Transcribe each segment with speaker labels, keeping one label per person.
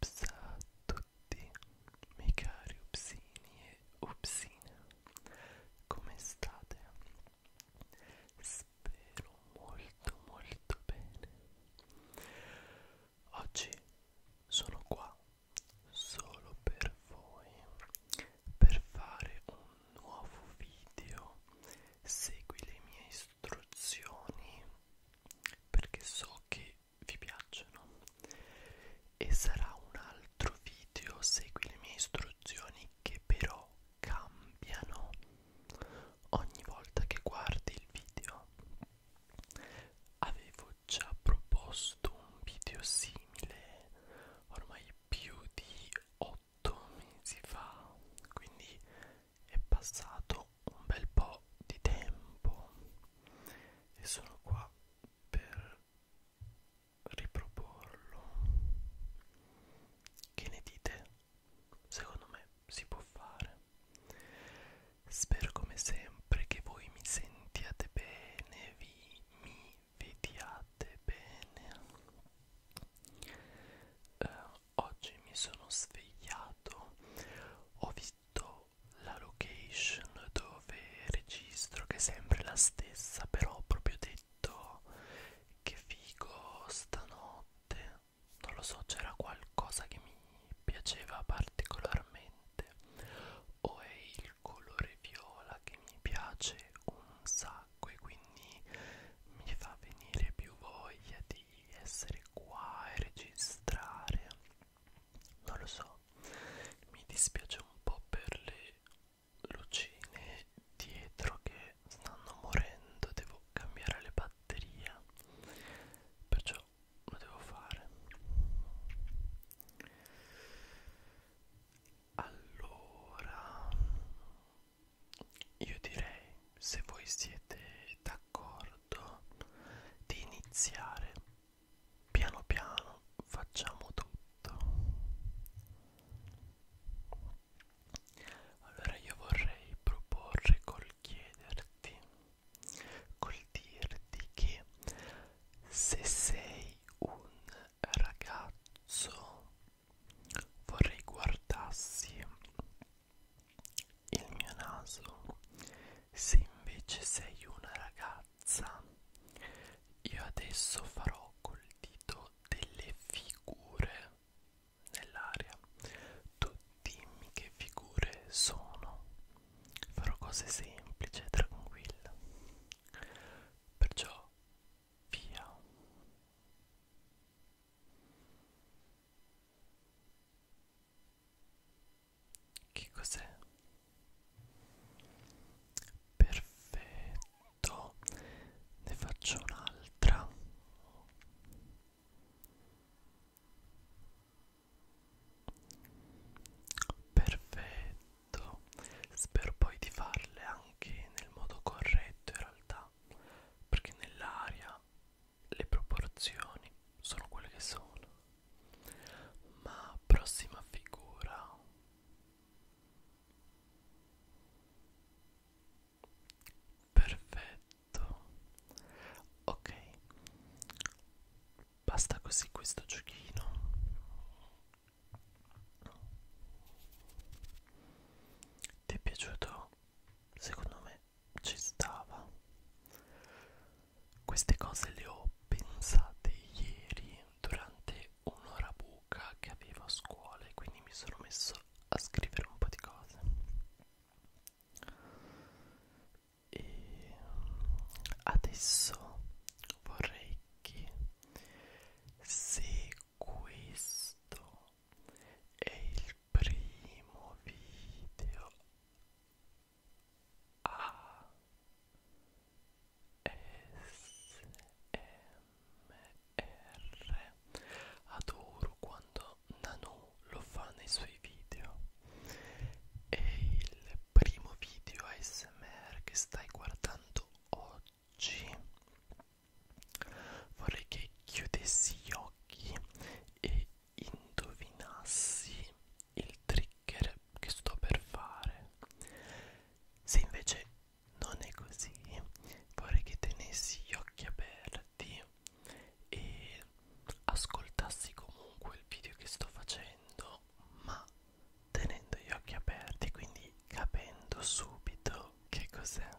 Speaker 1: Ups a tutti, miei cari upsini e upsine, come state? Spero molto molto bene. Oggi sono qua solo per voi per fare un nuovo video segui le mie istruzioni perché so che vi piacciono e sarà un altro video segui le mie istruzioni che però cambiano ogni volta che guardi il video avevo avevo già proposto un video simile ormai più di 8 mesi fa quindi è passato un bel po' di tempo e sono qua per riproporlo che ne dite? secondo me si può fare spero come sempre che voi mi sentiate bene vi voi mi vediate bene eh, oggi mi sono svegliato ho visto la location dove registro che è sempre la stessa però ho proprio detto che figo stanotte non lo so c'era qualcosa che mi piaceva particolarmente niente o è il colore viola che mi piace un sacco e quindi mi fa venire più voglia di essere qua e registrare non lo so mi dispiace un po' per le lucine dietro che stanno morendo devo cambiare le batterie perciò lo devo fare allora io direi se voi siete d'accordo di iniziare piano piano facciamo tutto allora io vorrei proporre col chiederti col dirti che se sei un ragazzo vorrei guardassi il mio naso se invece sei una ragazza io adesso farò col dito delle figure nell'aria tu dimmi che figure sono farò cose semplici e tranquille perciò via che cos'è? Perfetto, ne faccio un'altra. Perfetto, spero poi di farle anche nel modo corretto in realtà, perché nell'aria le proporzioni sono quelle che sono. Ma prossima figura. Perfetto. Ok. Basta così questo giochino. Ti è piaciuto? Secondo me ci stava. Queste cose le ho pensate ieri durante un'ora buca che avevo a scuola e quindi mi sono messo a scrivere un po' di cose e adesso vorrei che se questo è il primo video a S M R adoro quando Nano lo fa nei suoi video e il primo video ASMR che stai guardando oggi vorrei che chiudessi gli occhi e indovinassi il trigger che sto per fare se invece non è così vorrei che tenessi gli occhi aperti e ascoltassi comunque il video che sto facendo ma tenendo gli occhi aperti quindi capendo subito che cos'è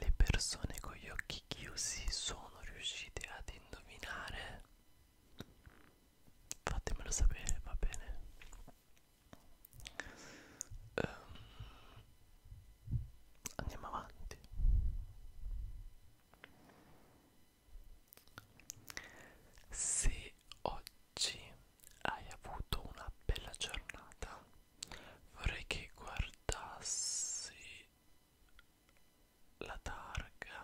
Speaker 1: le persone con gli occhi chiusi sono riuscite ad indovinare? Fatemelo sapere, va bene. Um, andiamo avanti. Se oggi hai avuto una bella giornata, vorrei che guardassi la targa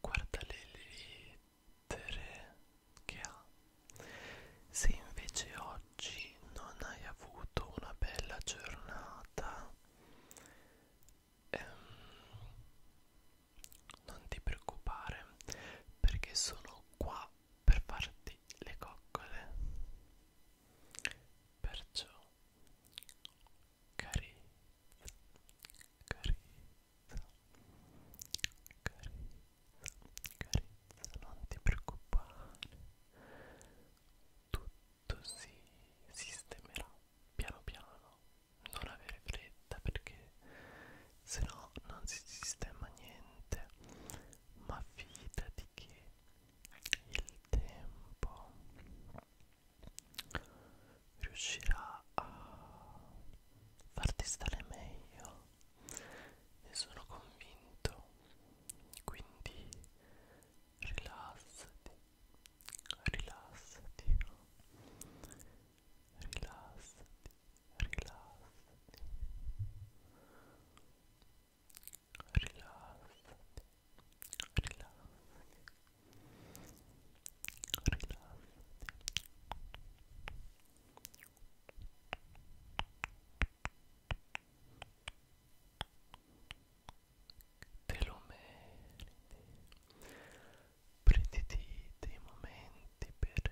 Speaker 1: guarda le lettere che ha se invece oggi non hai avuto una bella giornata ehm, non ti preoccupare perché sono qua per farti le coccole perciò carezza carezza carezza carezza non ti preoccupare tutto si sistemerà piano piano non avere fretta perché se no non si sistema niente ma fidati che il tempo riuscirà a farti stare meglio ne sono convinto quindi rilassati rilassati rilassati rilassati Te lo meriti. Prenditi dei momenti per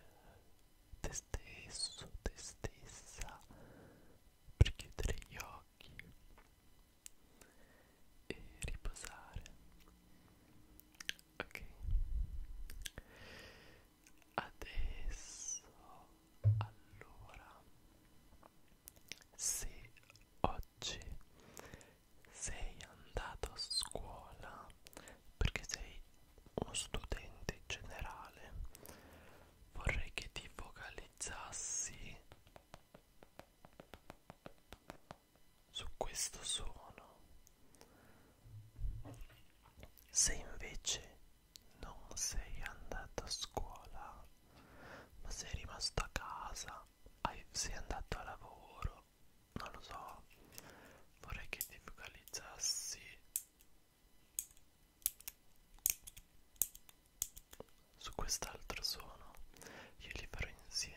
Speaker 1: te stesso, te stessa per chiudere gli occhi e riposare ok adesso allora se oggi sei andato a scuola perché sei uno studente generale vorrei che ti focalizzassi su questo suono se invece non sei andato a scuola ma sei rimasto a casa hai, sei andato a lavoro non lo so vorrei che ti focalizzassi su quest'altro suono io li farò insieme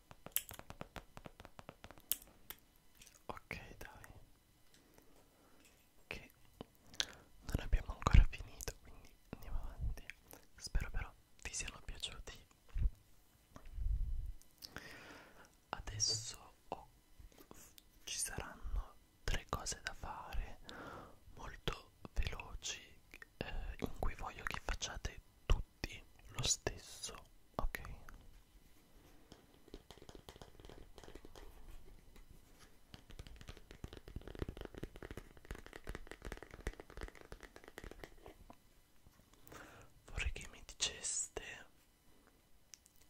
Speaker 1: Ok dai Che non abbiamo ancora finito quindi andiamo avanti Spero però vi siano piaciuti Adesso oh, ci saranno tre cose da fare molto veloci eh, in cui voglio che facciate tutto tutti lo stesso, ok? Vorrei che mi diceste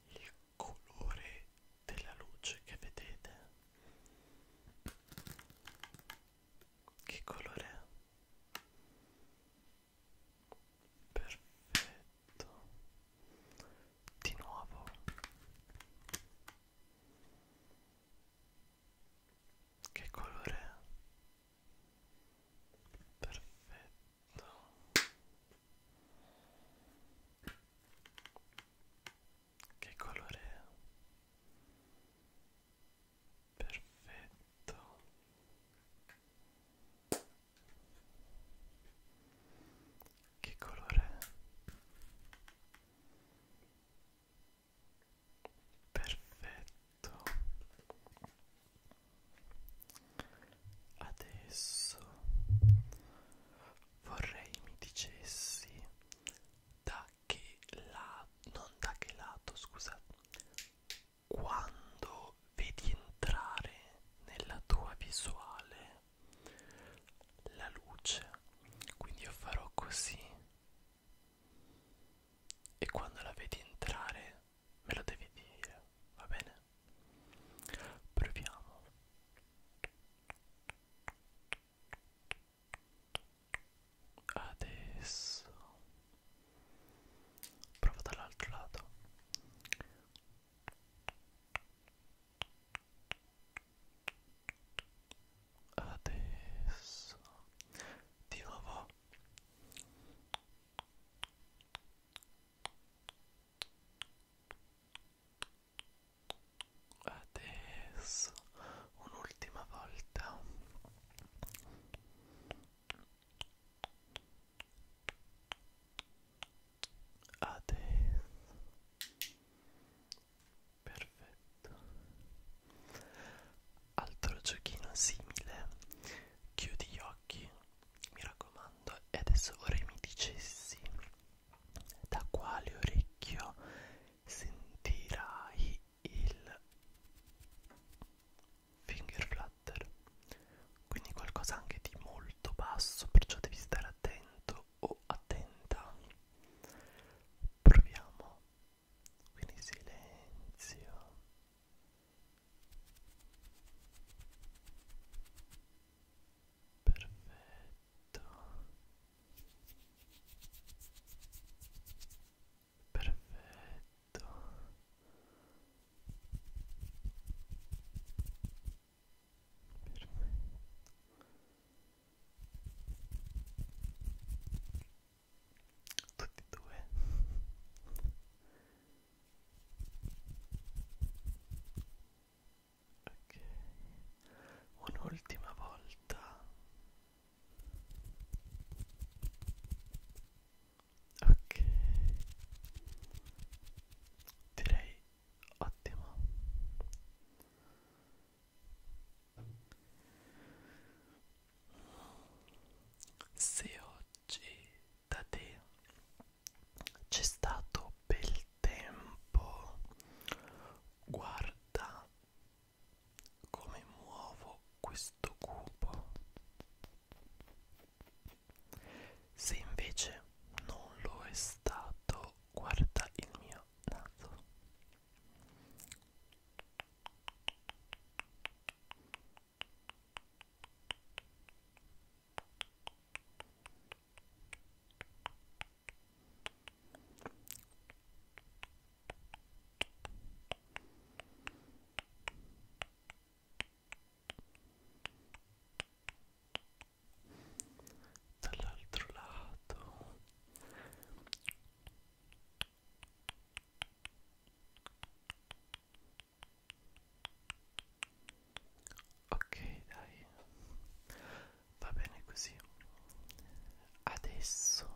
Speaker 1: il colore della luce che vedete che colore è? Perfetto. Di nuovo. Che colore è? Perfetto. Che colore è? perfetto che colore è? perfetto adesso vorrei mi dicessi da che la non da che lato scusa quando vedi entrare nella tua visuale la luce quindi io farò così e quando la vedi entrare me lo devi dire va bene proviamo Adesso prova dall'altro lato. Adesso di nuovo. Adesso un'ultima volta adesso perfetto altro giochino simile chiudi gli occhi mi raccomando e adesso vorrei mi dicessi da quale orecchio sentirai il finger flutter quindi qualcosa anche di molto basso perciò devi stare attento o attenta proviamo quindi silenzio perfetto perfetto tutti e due ok un'ultima volta ok direi ottimo se oggi da te c'è stato bel tempo guarda come muovo questo cubo se invece non lo è stato guarda il mio naso dall'altro lato ok dai va bene così adesso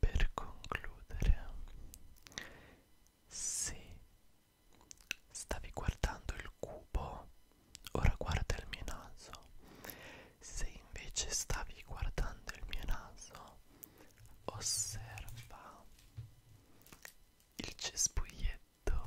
Speaker 1: per concludere, se stavi guardando il cubo, ora guarda il mio naso. Se invece stavi guardando il mio naso, osserva il cespuglietto.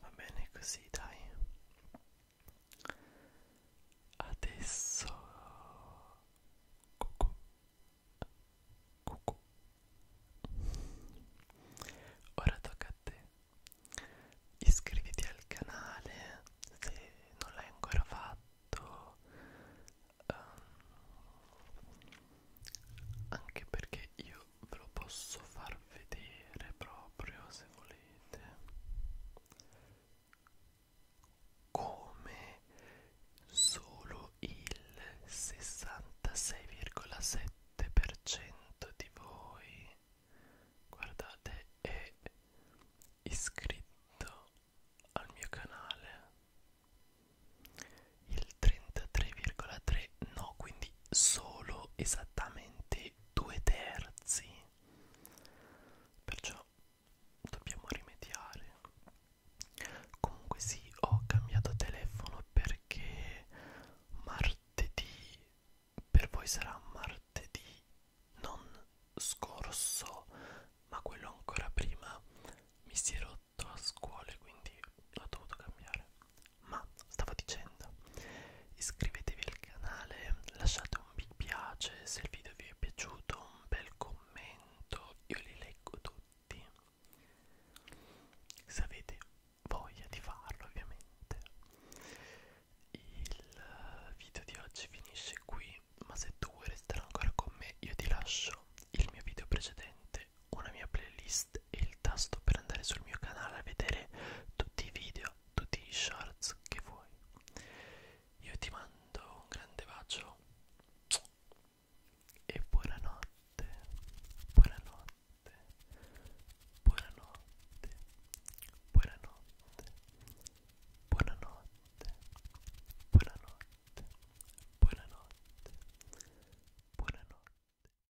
Speaker 1: Va bene così, dai. Adesso cucù. Cucù. Ora tocca a te. Iscriviti al canale se non l'hai ancora fatto. Um, anche perché io lo, ve lo posso far vedere proprio se volete come solo il 66,7% di voi guardate è iscritto al mio canale il 33,3 no quindi solo esattamente e due terzi perciò dobbiamo rimediare comunque sì ho cambiato telefono perché martedì per voi sarà martedì non scorso ma quello ancora prima mi si è rotto a scuola quindi l'ho dovuto cambiare ma stavo dicendo iscrivetevi al canale lasciate un mi piace se il video vi è piaciuto un bel commento io li leggo tutti se avete voglia di farlo ovviamente il eh, video di oggi finisce qui ma se tu vuoi restare ancora con me io ti lascio il mio video precedente una mia playlist playlist e il tasto per andare sul mio canale a vedere tutti i video, tutti i shorts che vuoi. Io ti mando un grande bacio e buonanotte, buonanotte, buonanotte, buonanotte, buonanotte, buonanotte, buonanotte, buonanotte.